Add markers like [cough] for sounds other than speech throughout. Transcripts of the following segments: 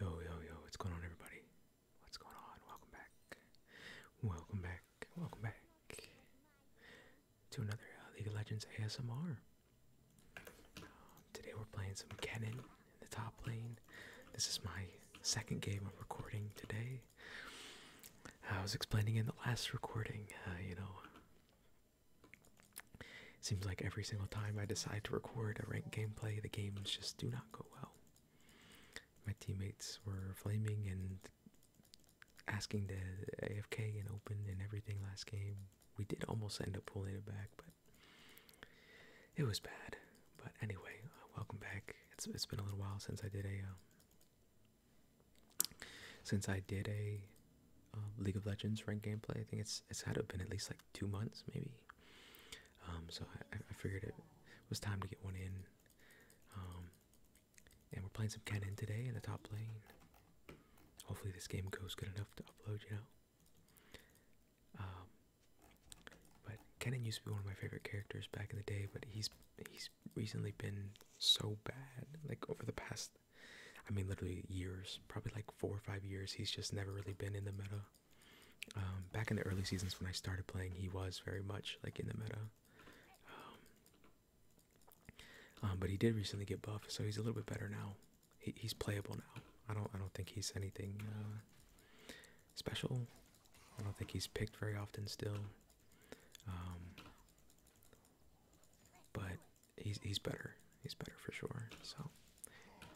Yo, yo, yo, what's going on, everybody? What's going on? Welcome back. Welcome back. Welcome back to another uh, League of Legends ASMR. Um, today we're playing some Kennen in the top lane. This is my second game of recording today. I was explaining in the last recording, uh, you know, Seems like every single time I decide to record a ranked gameplay, the games just do not go well. My teammates were flaming and asking to AFK and open and everything last game. We did almost end up pulling it back, but it was bad. But anyway, uh, welcome back. it's been a little while since I did a um, since I did a um, League of Legends ranked gameplay. I think it's it's had to have been at least like two months, maybe. Um, so I, I figured it was time to get one in. Um, and we're playing some Kennen today in the top lane. Hopefully this game goes good enough to upload, you know. Um, but Kennen used to be one of my favorite characters back in the day, but he's he's recently been so bad. Like over the past I mean, literally years, probably like four or five years. He's just never really been in the meta. Um, back in the early seasons when I started playing, he was very much like in the meta. Um, um, but he did recently get buffed, so he's a little bit better now. he's playable now. I don't. I don't think he's anything uh, special. I don't think he's picked very often still. but he's he's better. He's better for sure. So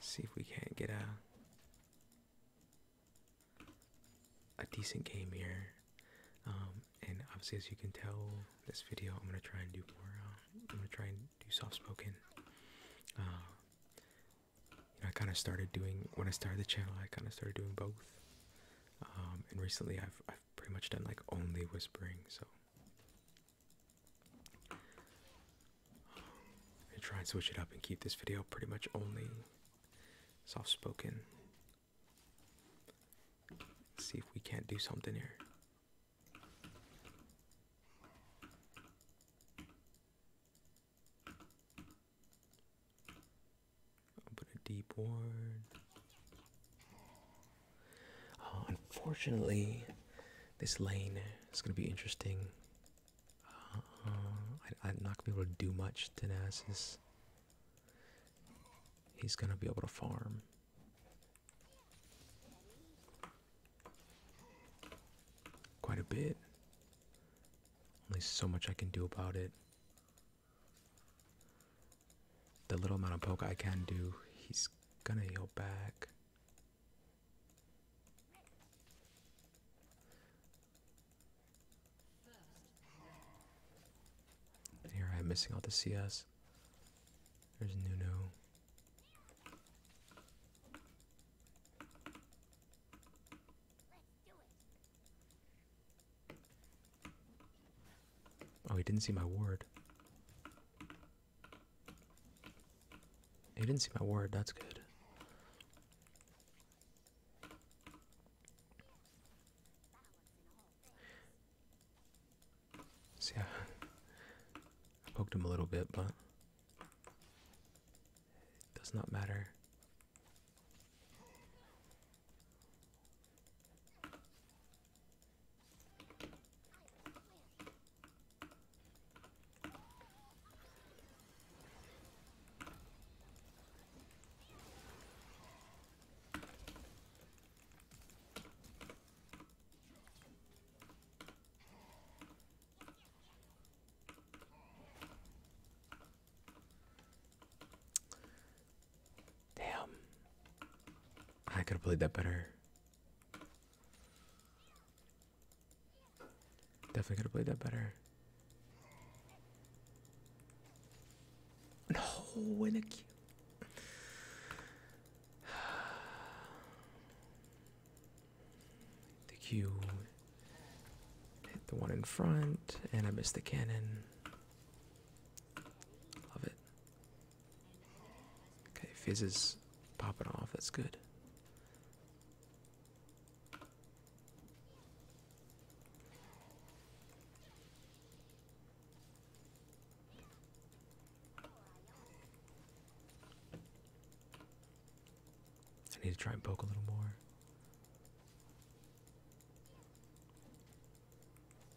see if we can't get a a decent game here. Um, and obviously, as you can tell, this video I'm gonna try and do more. Uh, I'm gonna try and do soft spoken. Uh, I kind of started doing when I started the channel. I kind of started doing both. Um, and recently, I've I've pretty much done like only whispering. So um, I try and switch it up and keep this video pretty much only soft spoken. see if we can't do something here. put a deep ward. Uh, unfortunately, this lane is going to be interesting. Uh, I, am not going to be able to do much to He's going to be able to farm. Quite a bit. Only so much I can do about it. The little amount of poke I can do, he's gonna heal back here I am missing out the CS. There's Nuno. Oh, he didn't see my ward. He didn't see my word, that's good. See, I, poked him a little bit, but it does not matter. Damn. I could have played that better. Definitely could have played that better. No, in a queue. [sighs] The queue hit the one in front, and I missed the cannon. Love it. Okay, fizzes popping off. That's good. I need to try and poke a little more.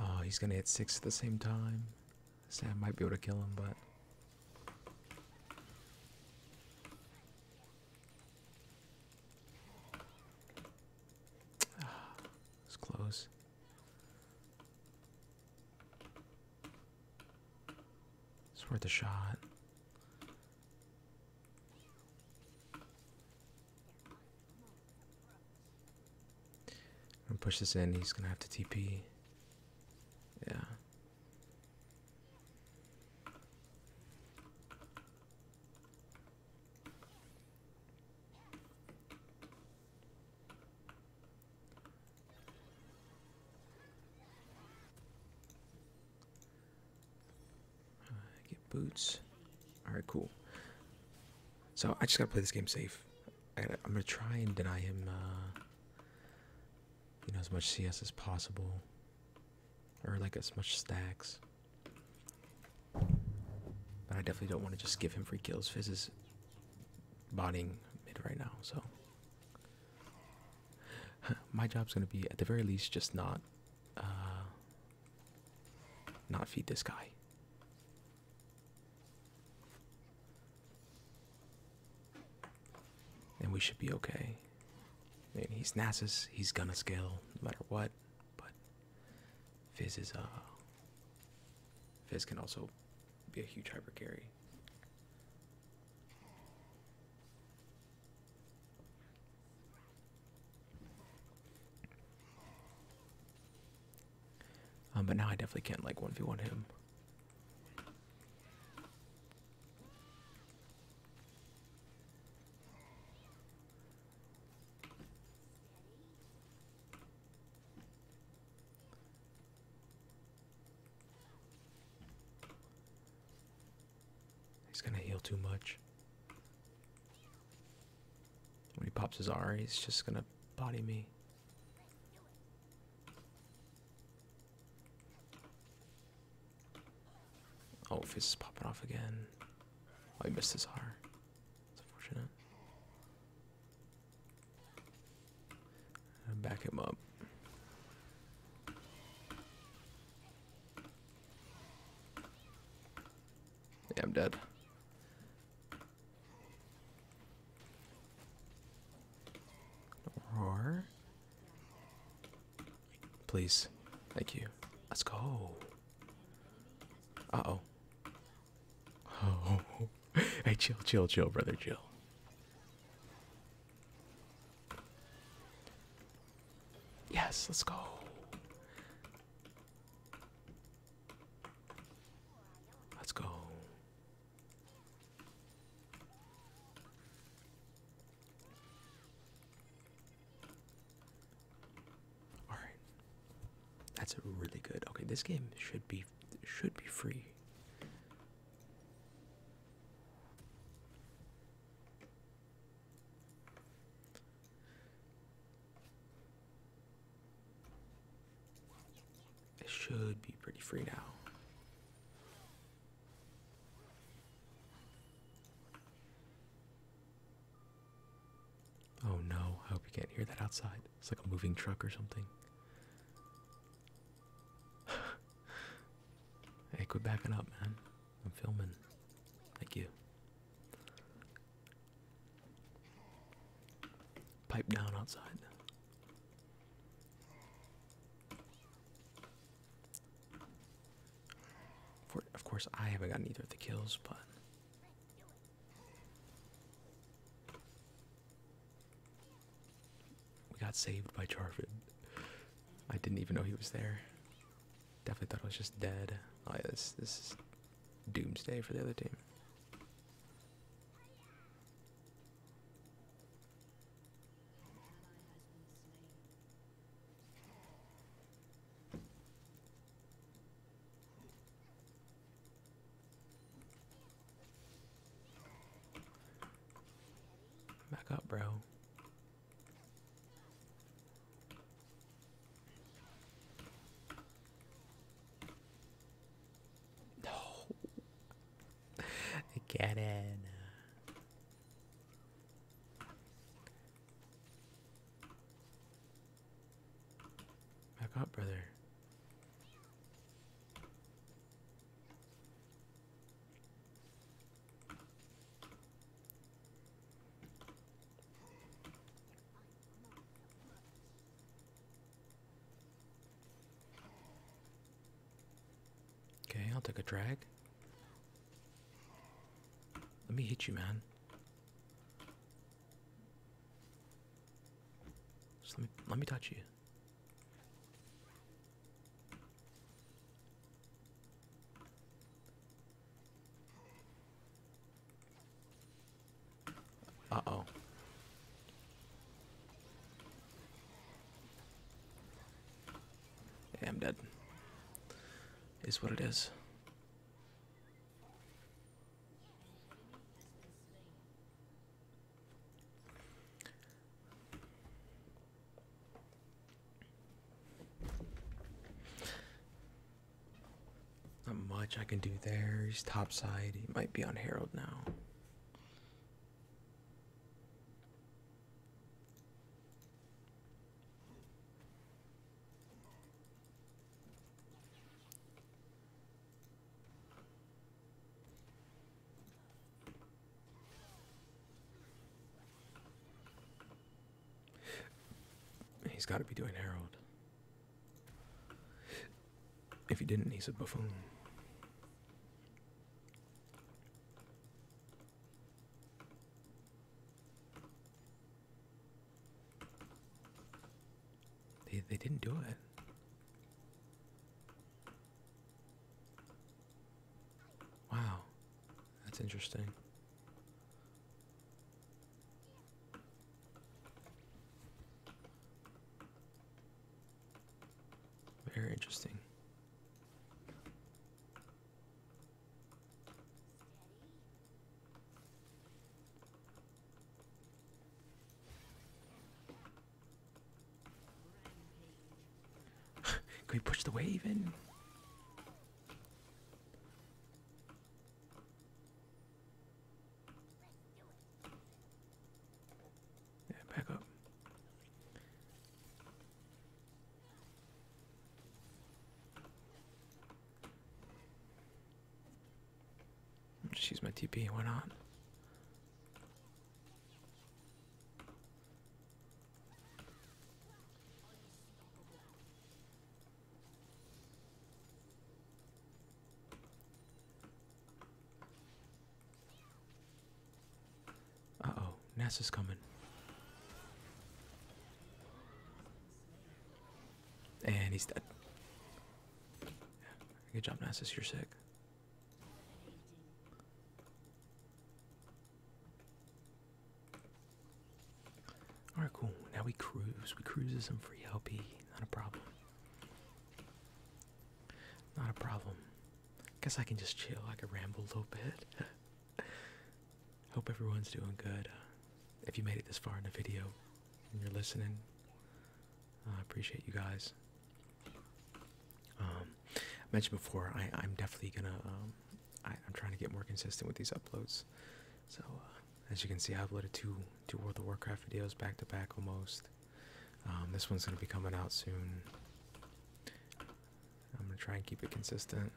Oh, he's gonna hit six at the same time. Sam might be able to kill him, but. [sighs] It's close. It's worth a shot. I'm gonna push this in. He's gonna have to TP. Yeah. Uh, get boots. All right, cool. So I just gotta play this game safe. I gotta, I'm gonna try and deny him, uh, you know, as much CS as possible, or like as much stacks. But I definitely don't want to just give him free kills. Fizz is botting mid right now, so [laughs] my job's gonna be at the very least just not uh, not feed this guy. And we should be okay. And he's Nasus. He's gonna scale no matter what. But Fizz is a uh, Fizz can also be a huge hyper carry. Um, but now I definitely can't like 1v1 him. He's gonna heal too much. When he pops his R, he's just gonna body me. Oh, he's is popping off again. Oh, I missed his R. It's unfortunate. Back him up. Yeah, I'm dead. Roar. Please. Thank you. Let's go. Uh-oh. Oh. [laughs] Hey, chill, chill, chill, brother, chill. Yes, let's go. Let's go. All right. That's really good. Okay, this game should be should be free. It should be pretty free now. Oh no, I hope you can't hear that outside. It's like a moving truck or something. [laughs] hey, quit backing up, man. I'm filming. Thank you. Pipe down outside. of course, I haven't gotten either of the kills, but. We got saved by Jarvid. I didn't even know he was there. Definitely thought I was just dead. Oh yeah, this this is doomsday for the other team. Back up, bro. No. Get in. Back up, brother. Okay, I'll take a drag. Let me hit you, man. Just let me let me touch you. Uh-oh. Yeah, I'm dead. Is what it is. Not much I can do there. He's topside. He might be on Harold now. He's got to be doing Harold. If he didn't, he's a buffoon. They, they didn't do it. Wow, that's interesting. Very interesting. [laughs] Can we push the wave in? Yeah, back up. just use my TP, why not? Uh-oh, NASA's coming. And he's dead. Good job, Nasus. You're sick. Alright, cool. Now we cruise. We cruise is some free LP. Not a problem. Not a problem. Guess I can just chill. I can ramble a little bit. [laughs] Hope everyone's doing good. if you made it this far in the video and you're listening, I appreciate you guys. Um, I mentioned before, I, am definitely gonna. Um, I, am trying to get more consistent with these uploads. So, uh, as you can see, I have uploaded two two World of Warcraft videos back to back almost. Um, this one's gonna be coming out soon. I'm gonna try and keep it consistent.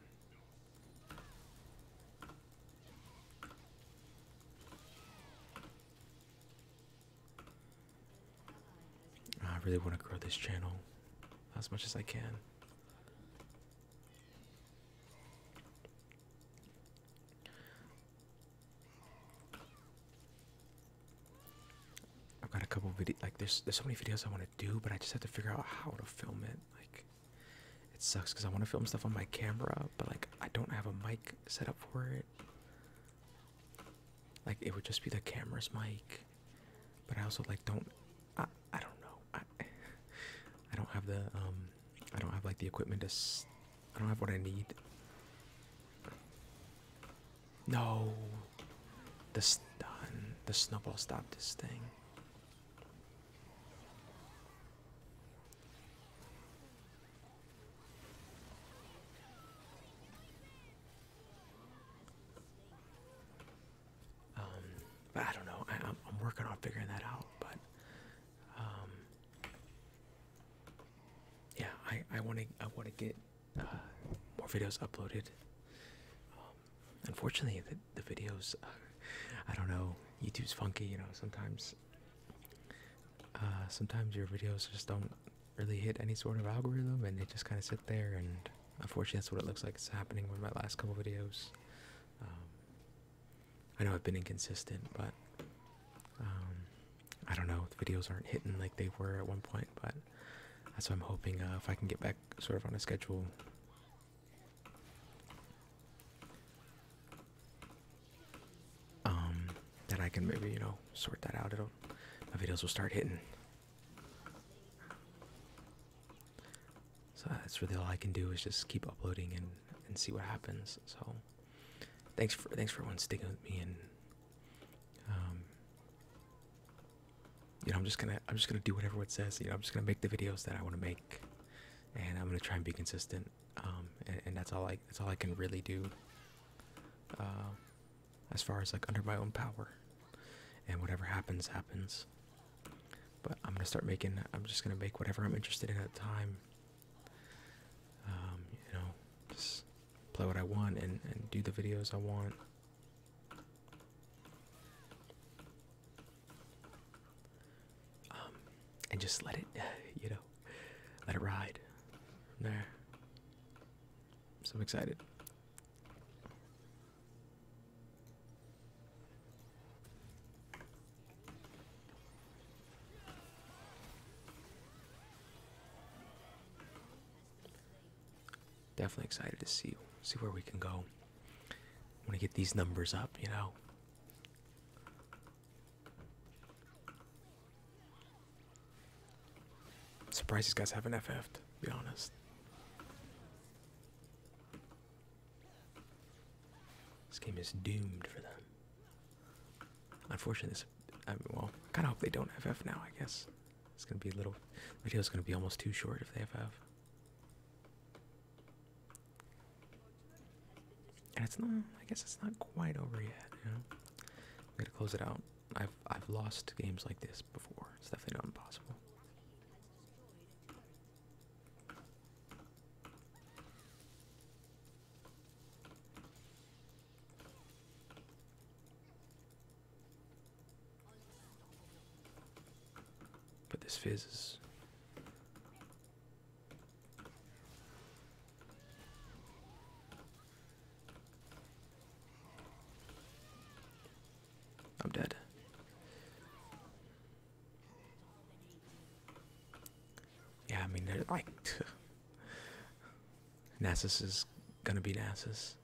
I really want to grow this channel as much as I can. I've got a couple videos. Like, there's there's so many videos I want to do, but I just have to figure out how to film it. Like, it sucks because I want to film stuff on my camera, but like I don't have a mic set up for it. Like, it would just be the camera's mic but I also like don't I I don't know I don't have the um I don't have like the equipment to s I don't have what I need. No, the stun the snowball stop this thing. Um, but I don't know. I, am working on figuring that out. But um, yeah, I I want to I want to get uh, more videos uploaded. Um, unfortunately, the, videos uh, I don't know. YouTube's funky, you know. Sometimes uh, sometimes your videos just don't really hit any sort of algorithm and they just kind of sit there and unfortunately that's what it looks like it's happening with my last couple videos um, i know i've been inconsistent but um, i don't know the videos aren't hitting like they were at one point but that's what i'm hoping uh, if i can get back sort of on a schedule um, that I can maybe you know sort that out. It'll my videos will start hitting. So that's really all I can do is just keep uploading and and see what happens. So thanks for thanks for everyone sticking with me and um you know I'm just gonna I'm just gonna do whatever it says. You know I'm just gonna make the videos that I want to make, and I'm gonna try and be consistent. Um and, that's all I that's all I can really do. Uh, as far as like under my own power and whatever happens happens but i'm gonna start making i'm just gonna make whatever i'm interested in at the time um, you know just play what i want and, and do the videos i want um, and just let it [laughs] you know let it ride from there so i'm excited Definitely excited to see see where we can go. Want to get these numbers up, you know. I'm surprised these guys have an ff to be honest. This game is doomed for them. Unfortunately, I mean, well, I kind of hope they don't FF now, I guess. It's going to be a little, video is going to be almost too short if they have FF. And it's not, I guess it's not quite over yet, you know? We gotta close it out. I've I've lost games like this before. It's definitely not impossible. But this fizz is I'm dead. Yeah, I mean, they're like. [laughs] Nasus is gonna be Nasus.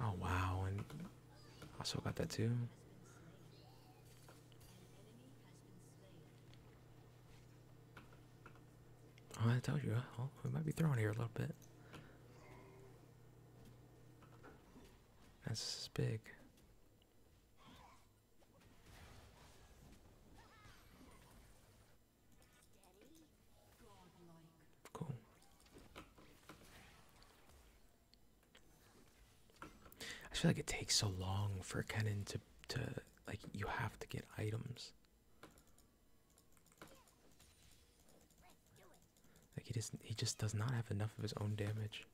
Oh, wow. And I still got that too. Oh, I told you, uh, we might be throwing here a little bit. That's big. Cool. I feel like it takes so long for a to to like you have to get items. Like he just he just does not have enough of his own damage.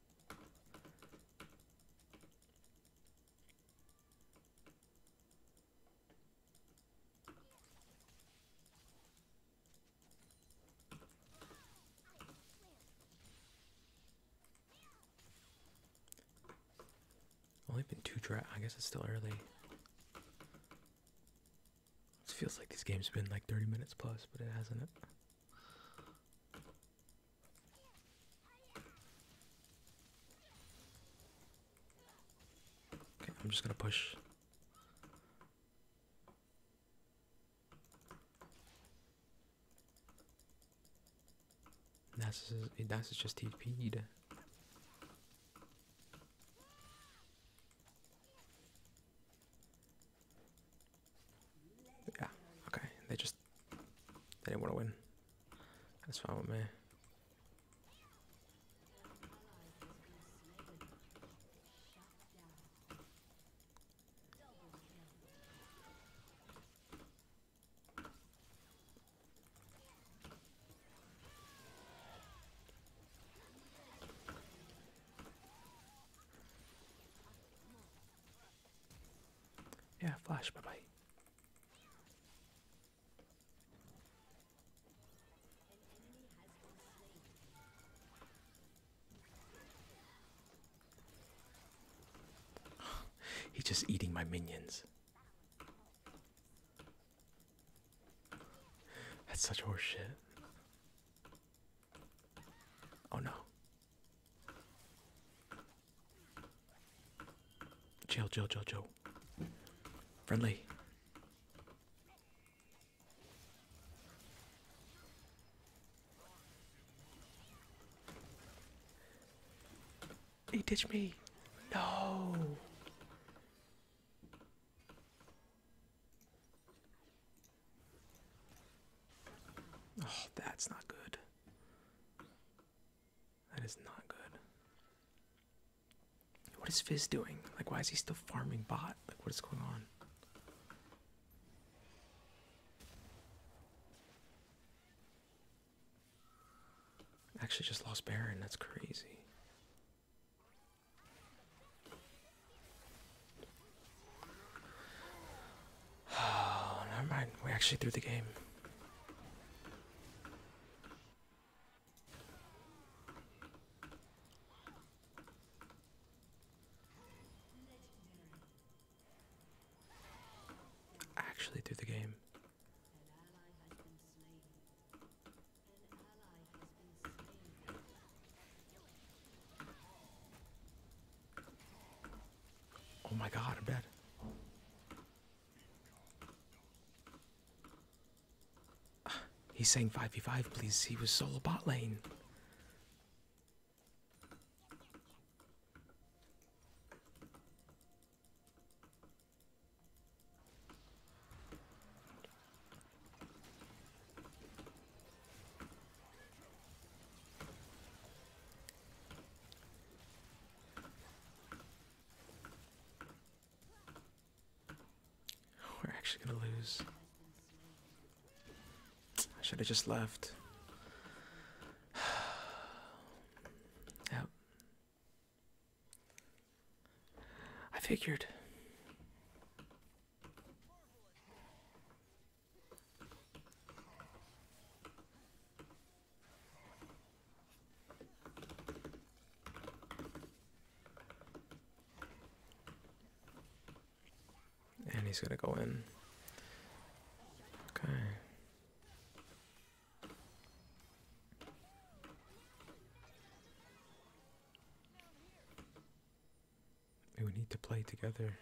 Only been two dra- I guess it's still early. It feels like this game's been like 30 minutes plus, but it hasn't it? Okay, I'm just gonna push. That's that's just TP'd. Yeah, okay. They just they didn't want to win. That's fine with me. Yeah, flash, bye bye. [gasps] He's just eating my minions. That's such horseshit. Oh no. Chill, chill, chill, chill. Friendly. He ditched me. No. Oh, that's not good. That is not good. What is Fizz doing? Like, why is he still farming bot? Like, what is going on? Actually, just lost Baron. That's crazy. [sighs] Oh, never mind. We actually threw the game actually through the game. Oh my god, I'm dead. [sighs] He's saying 5v5, please. He was solo bot lane. We're actually gonna lose. I should have just left. [sighs] Yep. I figured. And he's gonna go in. Okay. We need to play together.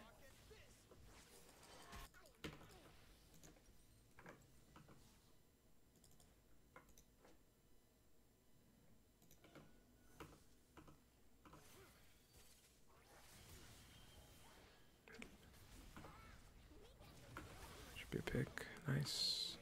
Should be a pick. Nice.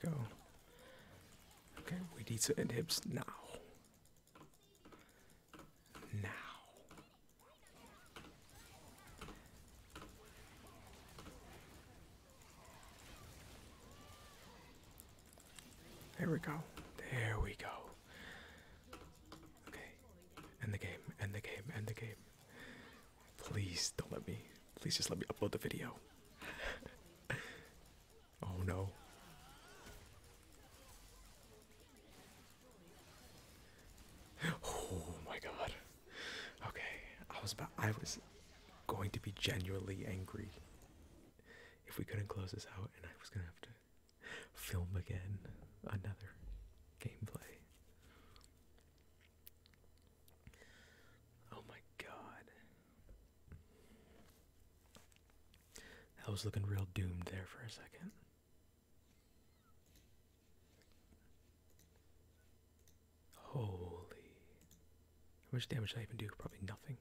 There we go. Okay, we need to inhibs now. Now. There we go. There we go. Okay. End the game. End the game. End the game. Please don't let me. Please just let me upload the video. [laughs] oh no. Oh my god. Okay, I was about I was going to be genuinely angry if we couldn't close this out and I was gonna have to film again another gameplay. Oh my god. I was looking real doomed there for a second. Holy. How much damage I even do? Probably nothing.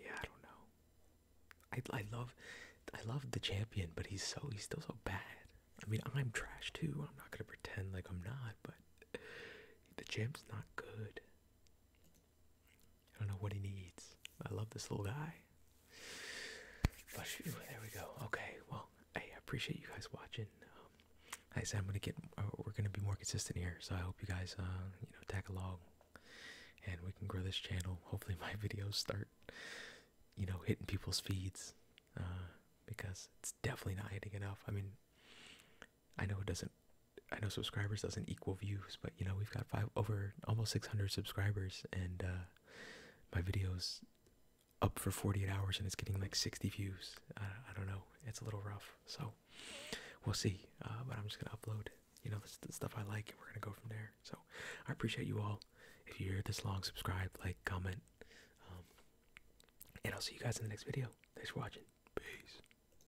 Yeah, I don't know. I, I love I love the champion, but he's so he's still so bad. I mean, I'm trash too. I'm not gonna pretend like I'm not, but the champ's not good. I don't know what he needs. I love this little guy. there we go. Okay, well, hey, I appreciate you guys watching. Um, I said, I'm gonna get. Uh, we're gonna be more consistent here, so I hope you guys, uh, you know, tag along, and we can grow this channel. Hopefully, my [laughs] videos start, you know, hitting people's feeds, uh, because it's definitely not hitting enough. I mean, I know it doesn't. I know subscribers doesn't equal views, but you know we've got five over almost 600 subscribers, and uh, my videos up for 48 hours, and it's getting like 60 views. I, don't know. It's a little rough, so we'll see. Uh, but I'm just gonna upload. You know, the stuff I like, and we're gonna go from there. So I appreciate you all. If you're this long, subscribe, like, comment, um, and I'll see you guys in the next video. Thanks for watching. Peace.